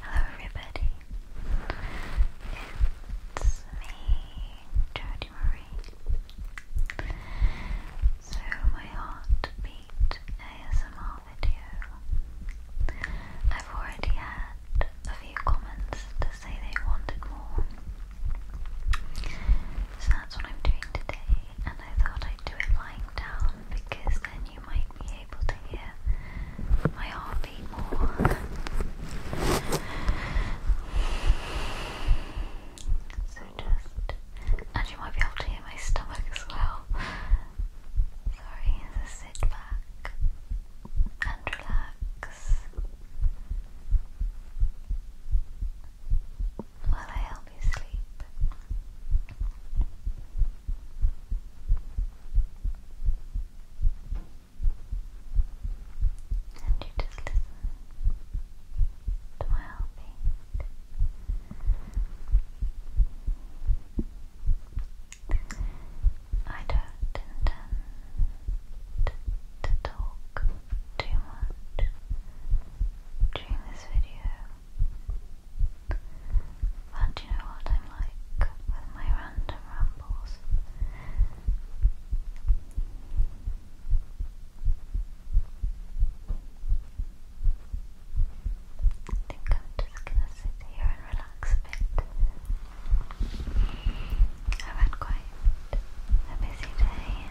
Hello everybody, it's me, Jodie Marie. So my heartbeat ASMR video. I've already had a few comments to say they wanted more. So that's what I'm doing today and I thought I'd do it lying down because then you might be able to hear my heartbeat more. so just, and you might be able to hear my stomach as well. Sorry, just sit back and relax. While I help you sleep. And you just listen to my heartbeat. I don't intend to talk too much during this video. But do you know what I'm like with my random rambles? I think I'm just gonna sit here and relax a bit. i had quite a busy day.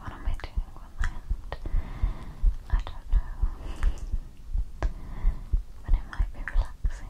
What am I doing with my hand? I don't know but it might be relaxing.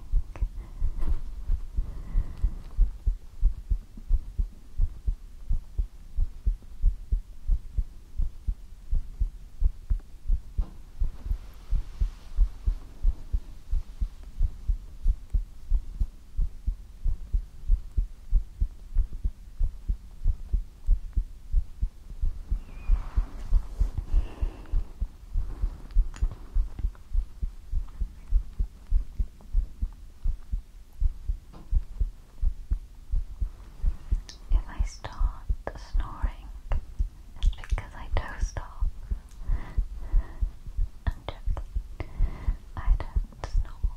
If I start snoring, it's because I dozed off. i I don't snore.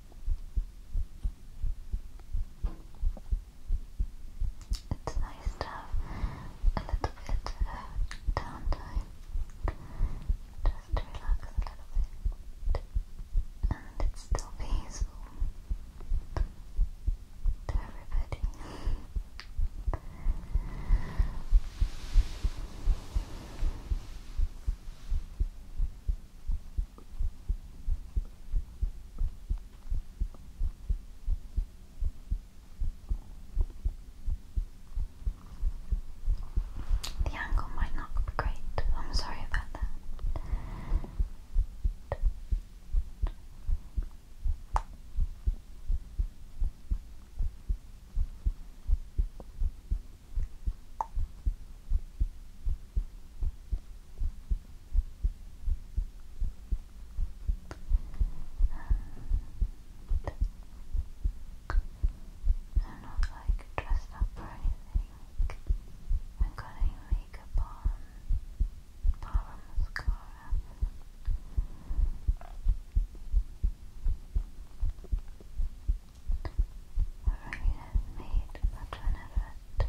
It's nice to have a little bit of downtime just to relax a little bit and it's still peaceful to everybody. The angle might not be great. I'm sorry about that. I'm not like dressed up or anything. I'm cutting makeup on, powder mascara. Already made much of an effort, so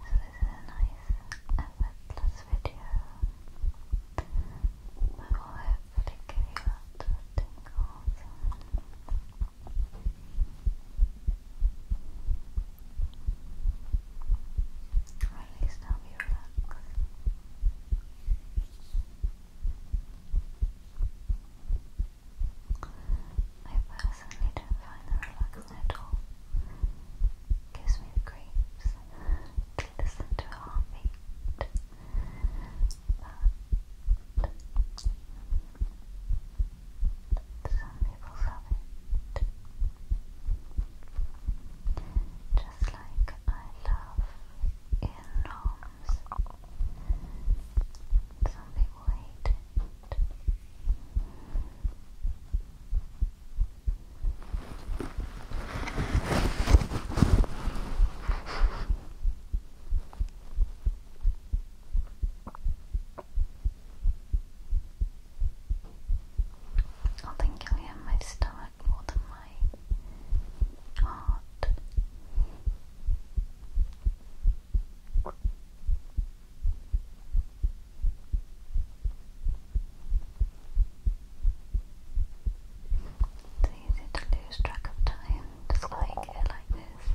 this is a nice effortless video. I will hopefully give you lots of at least I'll be relaxed. I personally don't find them relaxing at all. Gives me the creeps listen to a But some people love it. Just like I love enormous some people hate it. I think I'll my stomach more than my heart. It's easy to lose track of time, just like it like this.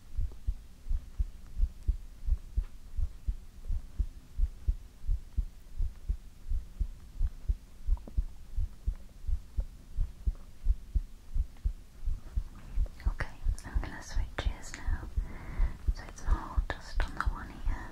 Okay, I'm going to switch gears now, so it's all just on the one ear.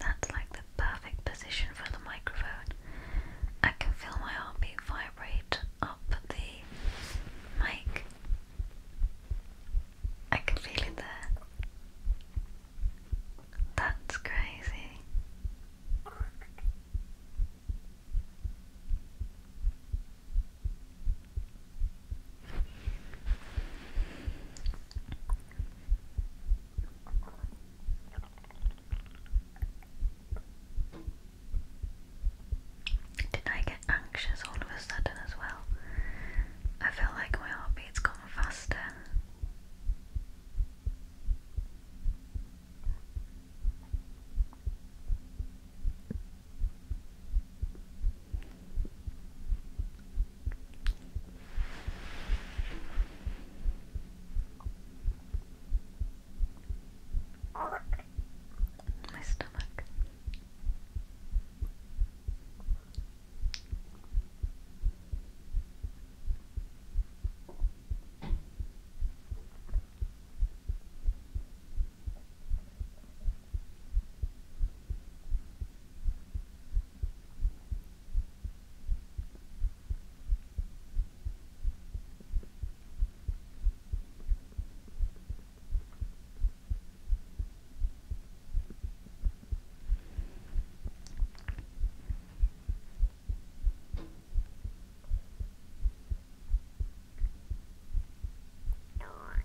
That's like the perfect position for the microphone. I can feel my heartbeat vibrate up the mic. I can feel it there. That's crazy. Did I get anxious all of a sudden as well? I feel like my heartbeat's gone faster. My stomach. Door.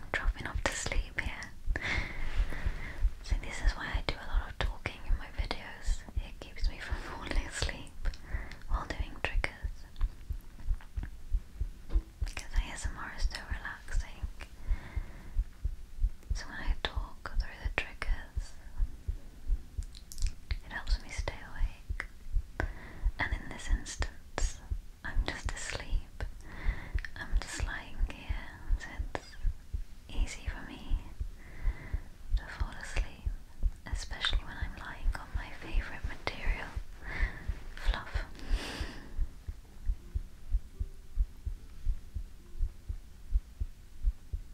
I'm dropping off to sleep here. So this is why I do a lot of talking in my videos. It keeps me from falling asleep while doing triggers. Because ASMR is so relaxing. So when I talk through the triggers, it helps me stay awake. And in this instance, I'm just asleep. I'm just lying here, so it's easy for me to fall asleep, especially when I'm lying on my favourite material, fluff.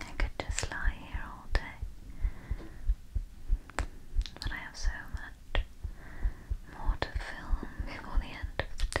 I could just lie here all day, but I have so much more to film before the end of the day.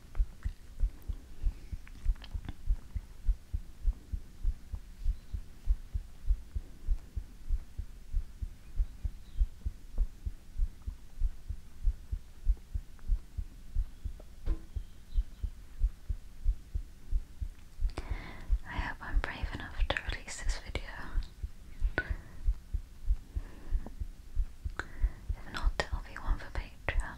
I hope I'm brave enough to release this video if not, there'll one for Patreon.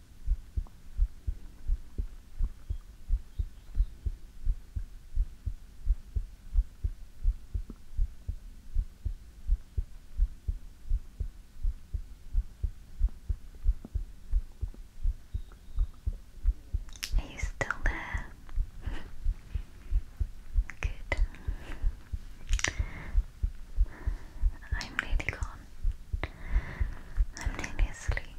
Are you still there? Good. I'm nearly gone. I'm nearly asleep.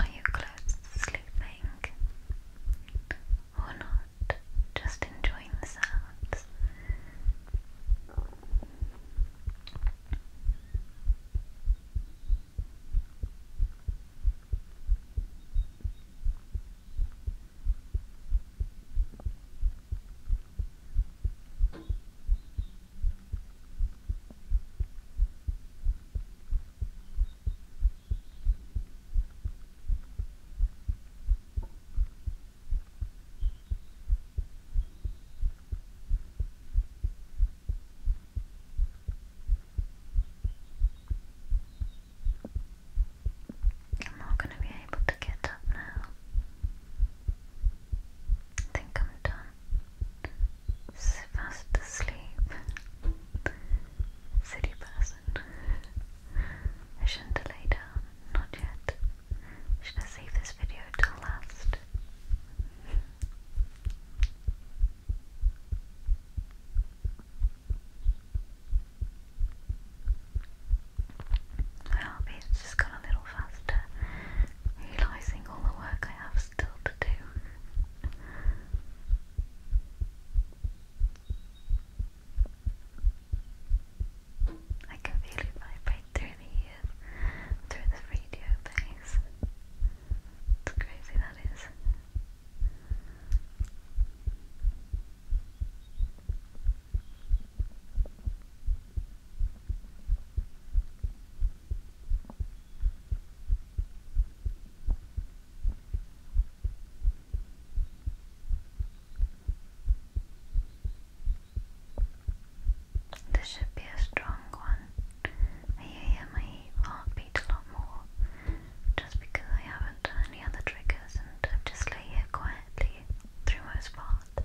Are you close to sleeping? Or not? Just enjoying the sounds. I'm not going to be able to get up now. I think I'm done. Fast asleep. City person. I shouldn't lay down. Not yet. Should I save this video till last? Well, it's just gone a little faster, realising all the work I have still to do. I can feel it vibrate through the ears, through the radio base. It's crazy that is. This should be a strong one. I hear my heartbeat a lot more just because I haven't done any other triggers and just lay here quietly through most part.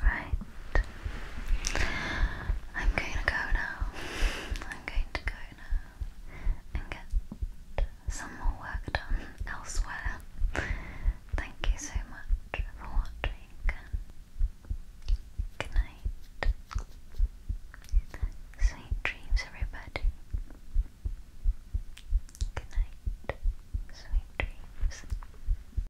Right. I'm going to go now. I'm going to go now and get some more work done elsewhere. Thank you so much for watching good night. Sweet dreams, everybody. Good night. Sweet dreams.